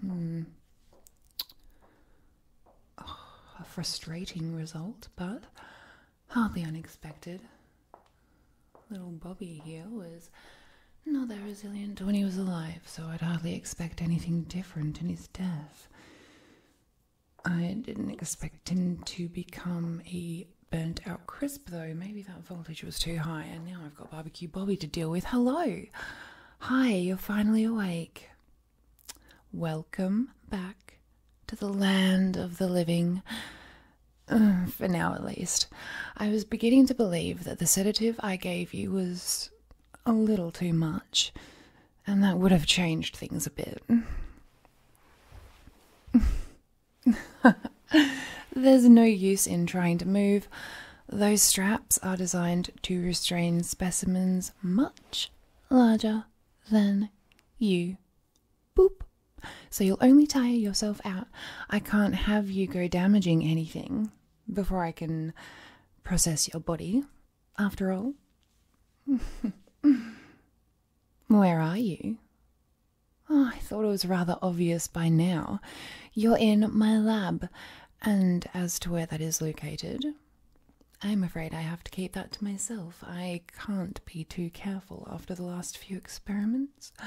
Hmm. a frustrating result, but hardly unexpected. Little Bobby here was not that resilient when he was alive, so I'd hardly expect anything different in his death. I didn't expect him to become a burnt out crisp, though. Maybe that voltage was too high, and now I've got Barbecue Bobby to deal with. Hello! Hi, you're finally awake. Welcome back to the land of the living. For now, at least. I was beginning to believe that the sedative I gave you was a little too much, and that would have changed things a bit. There's no use in trying to move. Those straps are designed to restrain specimens much larger than you boop. So you'll only tire yourself out. I can't have you go damaging anything before I can process your body, after all. Where are you? Oh, I thought it was rather obvious by now. You're in my lab, and as to where that is located, I'm afraid I have to keep that to myself. I can't be too careful after the last few experiments.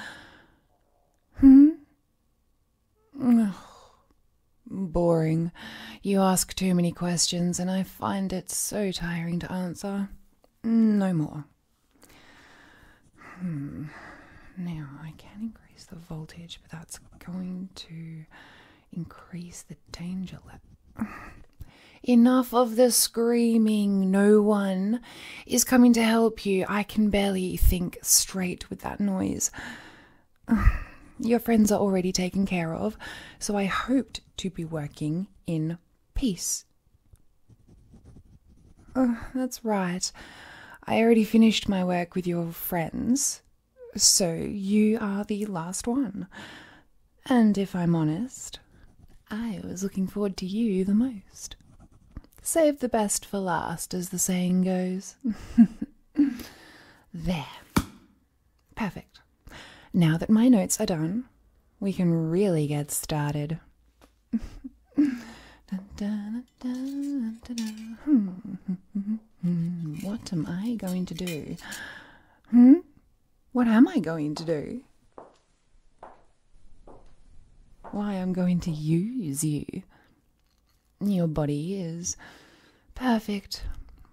Hmm? Boring. You ask too many questions, and I find it so tiring to answer. No more. Hmm. Now, I can increase the voltage, but that's going to increase the danger level. Enough of the screaming. No one is coming to help you. I can barely think straight with that noise. Your friends are already taken care of, so I hoped to be working in peace. Uh, that's right. I already finished my work with your friends, so you are the last one. And if I'm honest, I was looking forward to you the most. Save the best for last, as the saying goes. there. Perfect. Now that my notes are done, we can really get started. what am I going to do? Hmm? What am I going to do? Why, I'm going to use you. Your body is perfect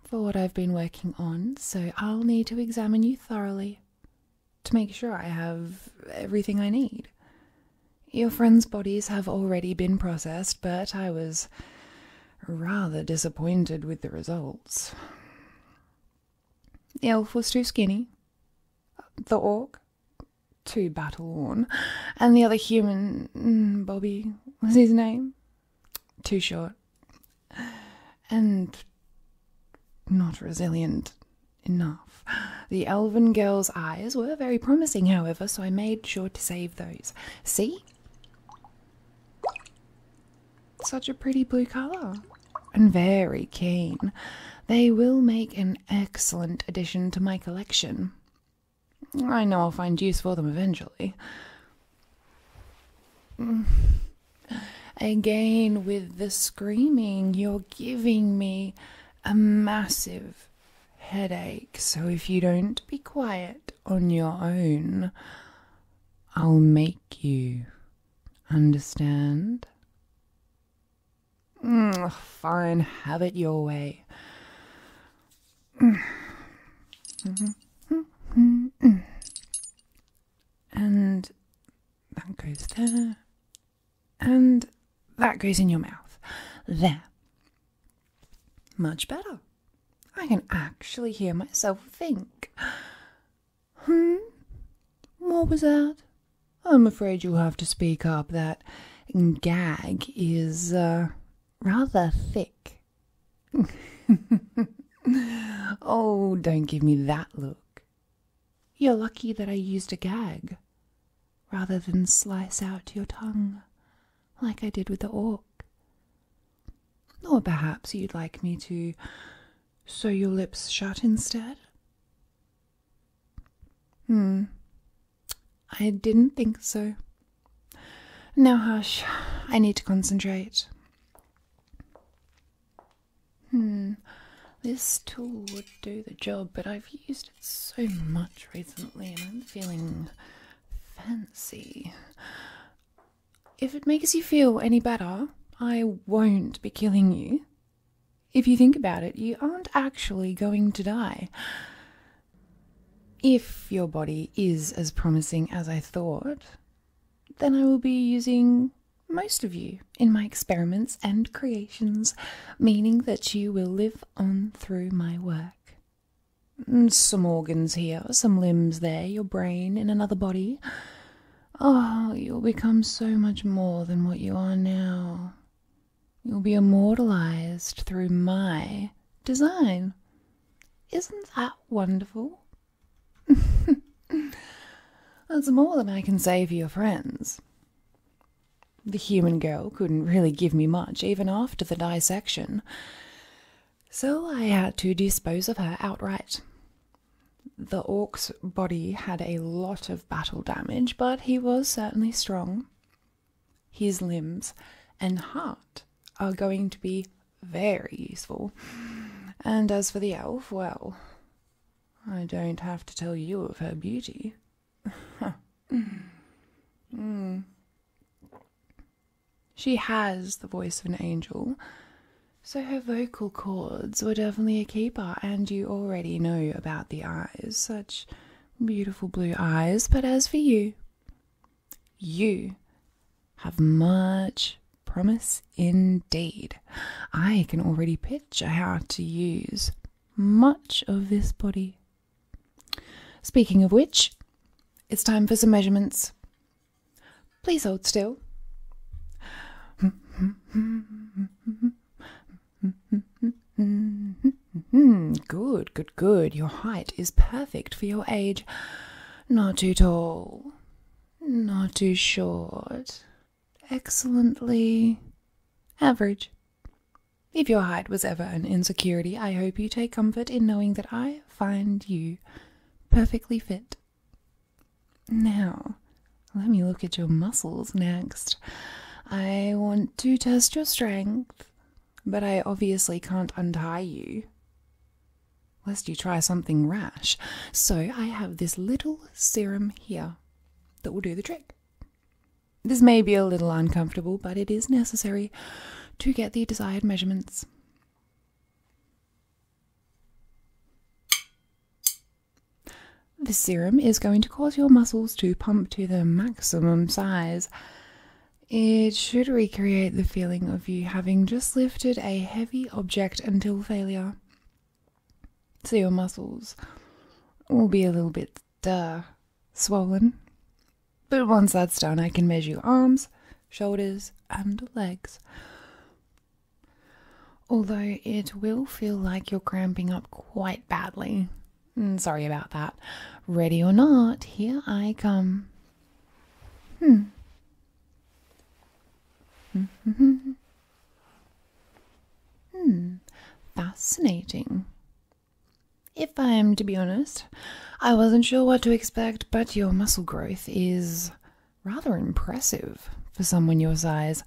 for what I've been working on, so I'll need to examine you thoroughly to make sure I have everything I need. Your friends' bodies have already been processed, but I was rather disappointed with the results. The elf was too skinny, the orc too battle worn, and the other human, mm, Bobby was his name, too short and not resilient enough. The elven girl's eyes were very promising, however, so I made sure to save those. See? Such a pretty blue colour and very keen. They will make an excellent addition to my collection. I know I'll find use for them eventually. Again, with the screaming, you're giving me a massive headache. So, if you don't be quiet on your own, I'll make you understand. Mm, fine, have it your way. And that goes there. And that goes in your mouth. There. Much better. I can actually hear myself think. Hmm? What was that? I'm afraid you'll have to speak up. That gag is uh, rather thick. oh, don't give me that look. You're lucky that I used a gag rather than slice out your tongue like I did with the orc. Or perhaps you'd like me to sew your lips shut instead? Hmm. I didn't think so. Now, hush. I need to concentrate. Hmm. This tool would do the job, but I've used it so much recently and I'm feeling Fancy. If it makes you feel any better, I won't be killing you. If you think about it, you aren't actually going to die. If your body is as promising as I thought, then I will be using most of you in my experiments and creations, meaning that you will live on through my work. Mm, some organs here, some limbs there, your brain in another body. Oh, you'll become so much more than what you are now. You'll be immortalized through my design. Isn't that wonderful? That's more than I can say for your friends. The human girl couldn't really give me much even after the dissection. So I had to dispose of her outright. The orc's body had a lot of battle damage, but he was certainly strong. His limbs and heart are going to be very useful. And as for the elf, well, I don't have to tell you of her beauty. Hmm. She has the voice of an angel, so her vocal cords were definitely a keeper, and you already know about the eyes such beautiful blue eyes. But as for you, you have much promise indeed. I can already picture how to use much of this body Speaking of which, it's time for some measurements. Please hold still. Good, good, good. Your height is perfect for your age. Not too tall, not too short. Excellently average. If your height was ever an insecurity, I hope you take comfort in knowing that I find you perfectly fit. Now, let me look at your muscles next. I want to test your strength, but I obviously can't untie you. Lest you try something rash. So I have this little serum here that will do the trick. This may be a little uncomfortable, but it is necessary to get the desired measurements. The serum is going to cause your muscles to pump to the maximum size. It should recreate the feeling of you having just lifted a heavy object until failure. So your muscles will be a little bit uh, swollen. But once that's done, I can measure your arms, shoulders, and legs. Although it will feel like you're cramping up quite badly. Mm, sorry about that. Ready or not, here I come. Hmm. hmm. Hmm. Fascinating. If I am to be honest, I wasn't sure what to expect, but your muscle growth is rather impressive for someone your size.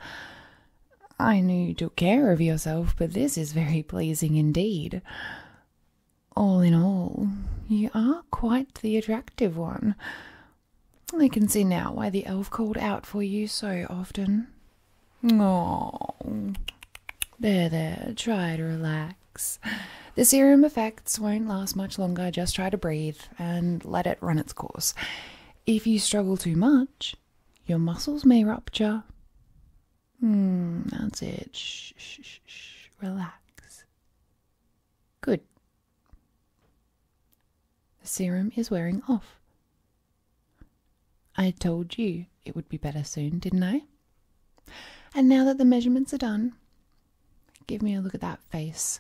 I knew you took care of yourself, but this is very pleasing indeed. All in all, you are quite the attractive one. I can see now why the elf called out for you so often. Oh, there, there. Try to relax. The serum effects won't last much longer. Just try to breathe and let it run its course. If you struggle too much, your muscles may rupture. Hmm, that's it. shh, shh, shh. Relax. Good. The serum is wearing off. I told you it would be better soon, didn't I? And now that the measurements are done, give me a look at that face.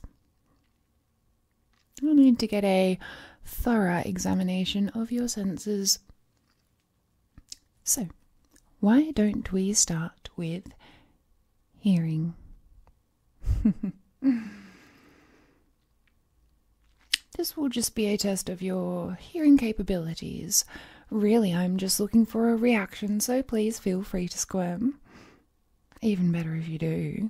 we will need to get a thorough examination of your senses. So, why don't we start with hearing? This will just be a test of your hearing capabilities. Really, I'm just looking for a reaction, so please feel free to squirm. Even better if you do.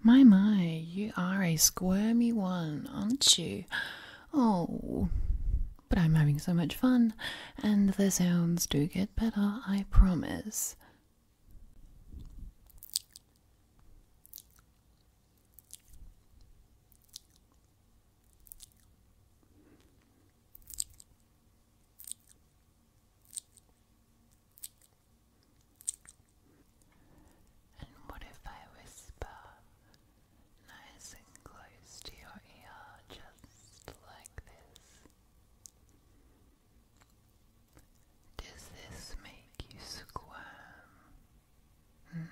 My, my, you are a squirmy one, aren't you? Oh, but I'm having so much fun, and the sounds do get better, I promise. And what if I whisper nice and close to your ear, just like this? Does this make you squirm? Hmm.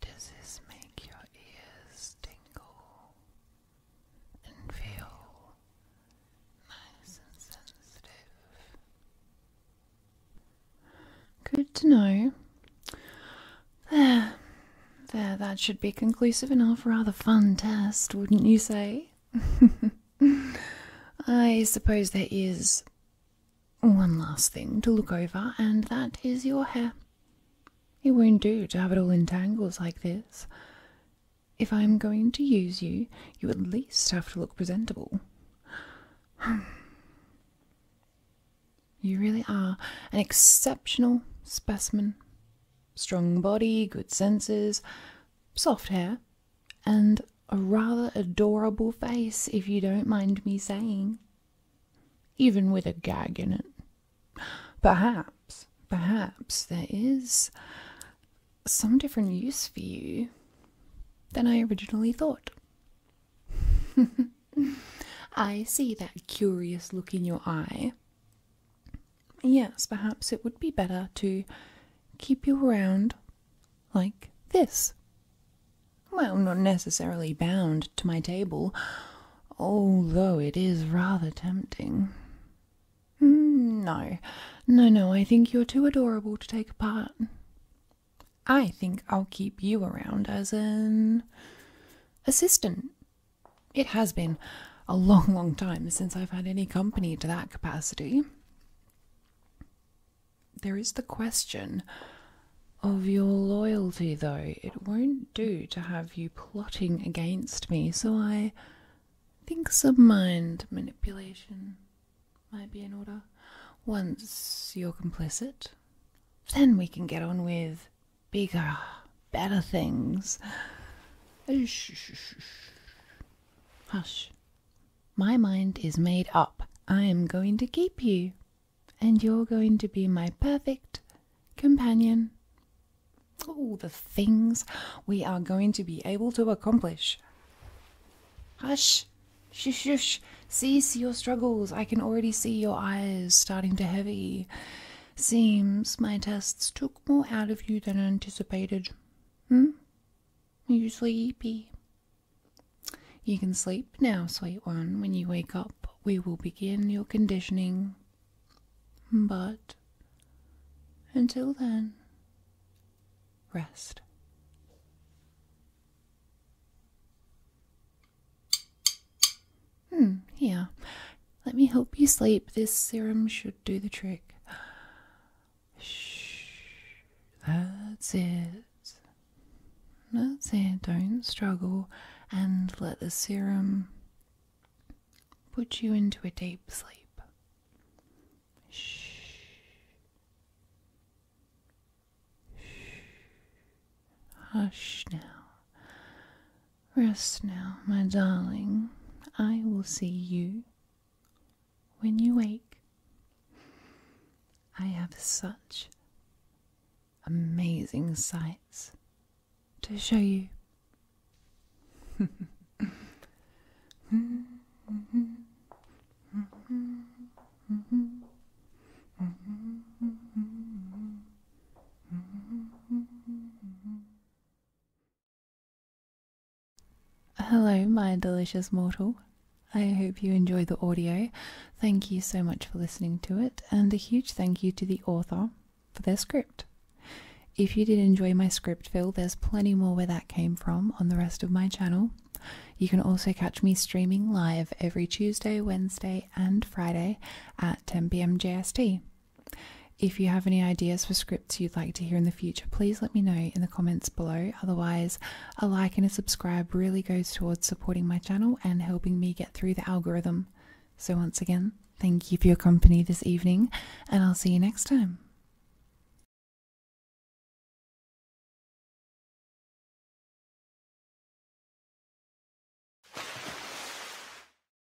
Does this make your ears tingle and feel nice and sensitive? Good to know. There, there, that should be conclusive enough. Rather fun test, wouldn't you say? I suppose there is one last thing to look over, and that is your hair. It won't do to have it all in tangles like this. If I am going to use you, you at least have to look presentable. You really are an exceptional specimen. Strong body, good senses, soft hair, and a rather adorable face, if you don't mind me saying, even with a gag in it. Perhaps, perhaps there is some different use for you than I originally thought. I see that curious look in your eye. Yes, perhaps it would be better to keep you around like this. Well, not necessarily bound to my table, although it is rather tempting. Mm, no, no, no, I think you're too adorable to take apart. I think I'll keep you around as an assistant. It has been a long, long time since I've had any company to that capacity. There is the question of your loyalty, though. It won't do to have you plotting against me, so I think some mind manipulation might be in order. Once you're complicit, then we can get on with bigger, better things. Hush. My mind is made up. I am going to keep you, and you're going to be my perfect companion. All the things we are going to be able to accomplish. Hush! Shush, shush! Cease your struggles. I can already see your eyes starting to heavy. Seems my tests took more out of you than anticipated. Hmm? Usually be. You can sleep now, sweet one. When you wake up, we will begin your conditioning. But until then, rest. Hmm, here. Let me help you sleep. This serum should do the trick. Shh. That's it. That's it. Don't struggle and let the serum put you into a deep sleep. Shh. Shh. Hush now. Rest now, my darling. I will see you when you wake. I have such amazing sights to show you. Hello, my delicious mortal. I hope you enjoyed the audio. Thank you so much for listening to it, and a huge thank you to the author for their script. If you did enjoy my script Phil, there's plenty more where that came from on the rest of my channel. You can also catch me streaming live every Tuesday, Wednesday, and Friday at 10 pm JST. If you have any ideas for scripts you'd like to hear in the future, please let me know in the comments below. Otherwise, a like and a subscribe really goes towards supporting my channel and helping me get through the algorithm. So, once again, thank you for your company this evening, and I'll see you next time.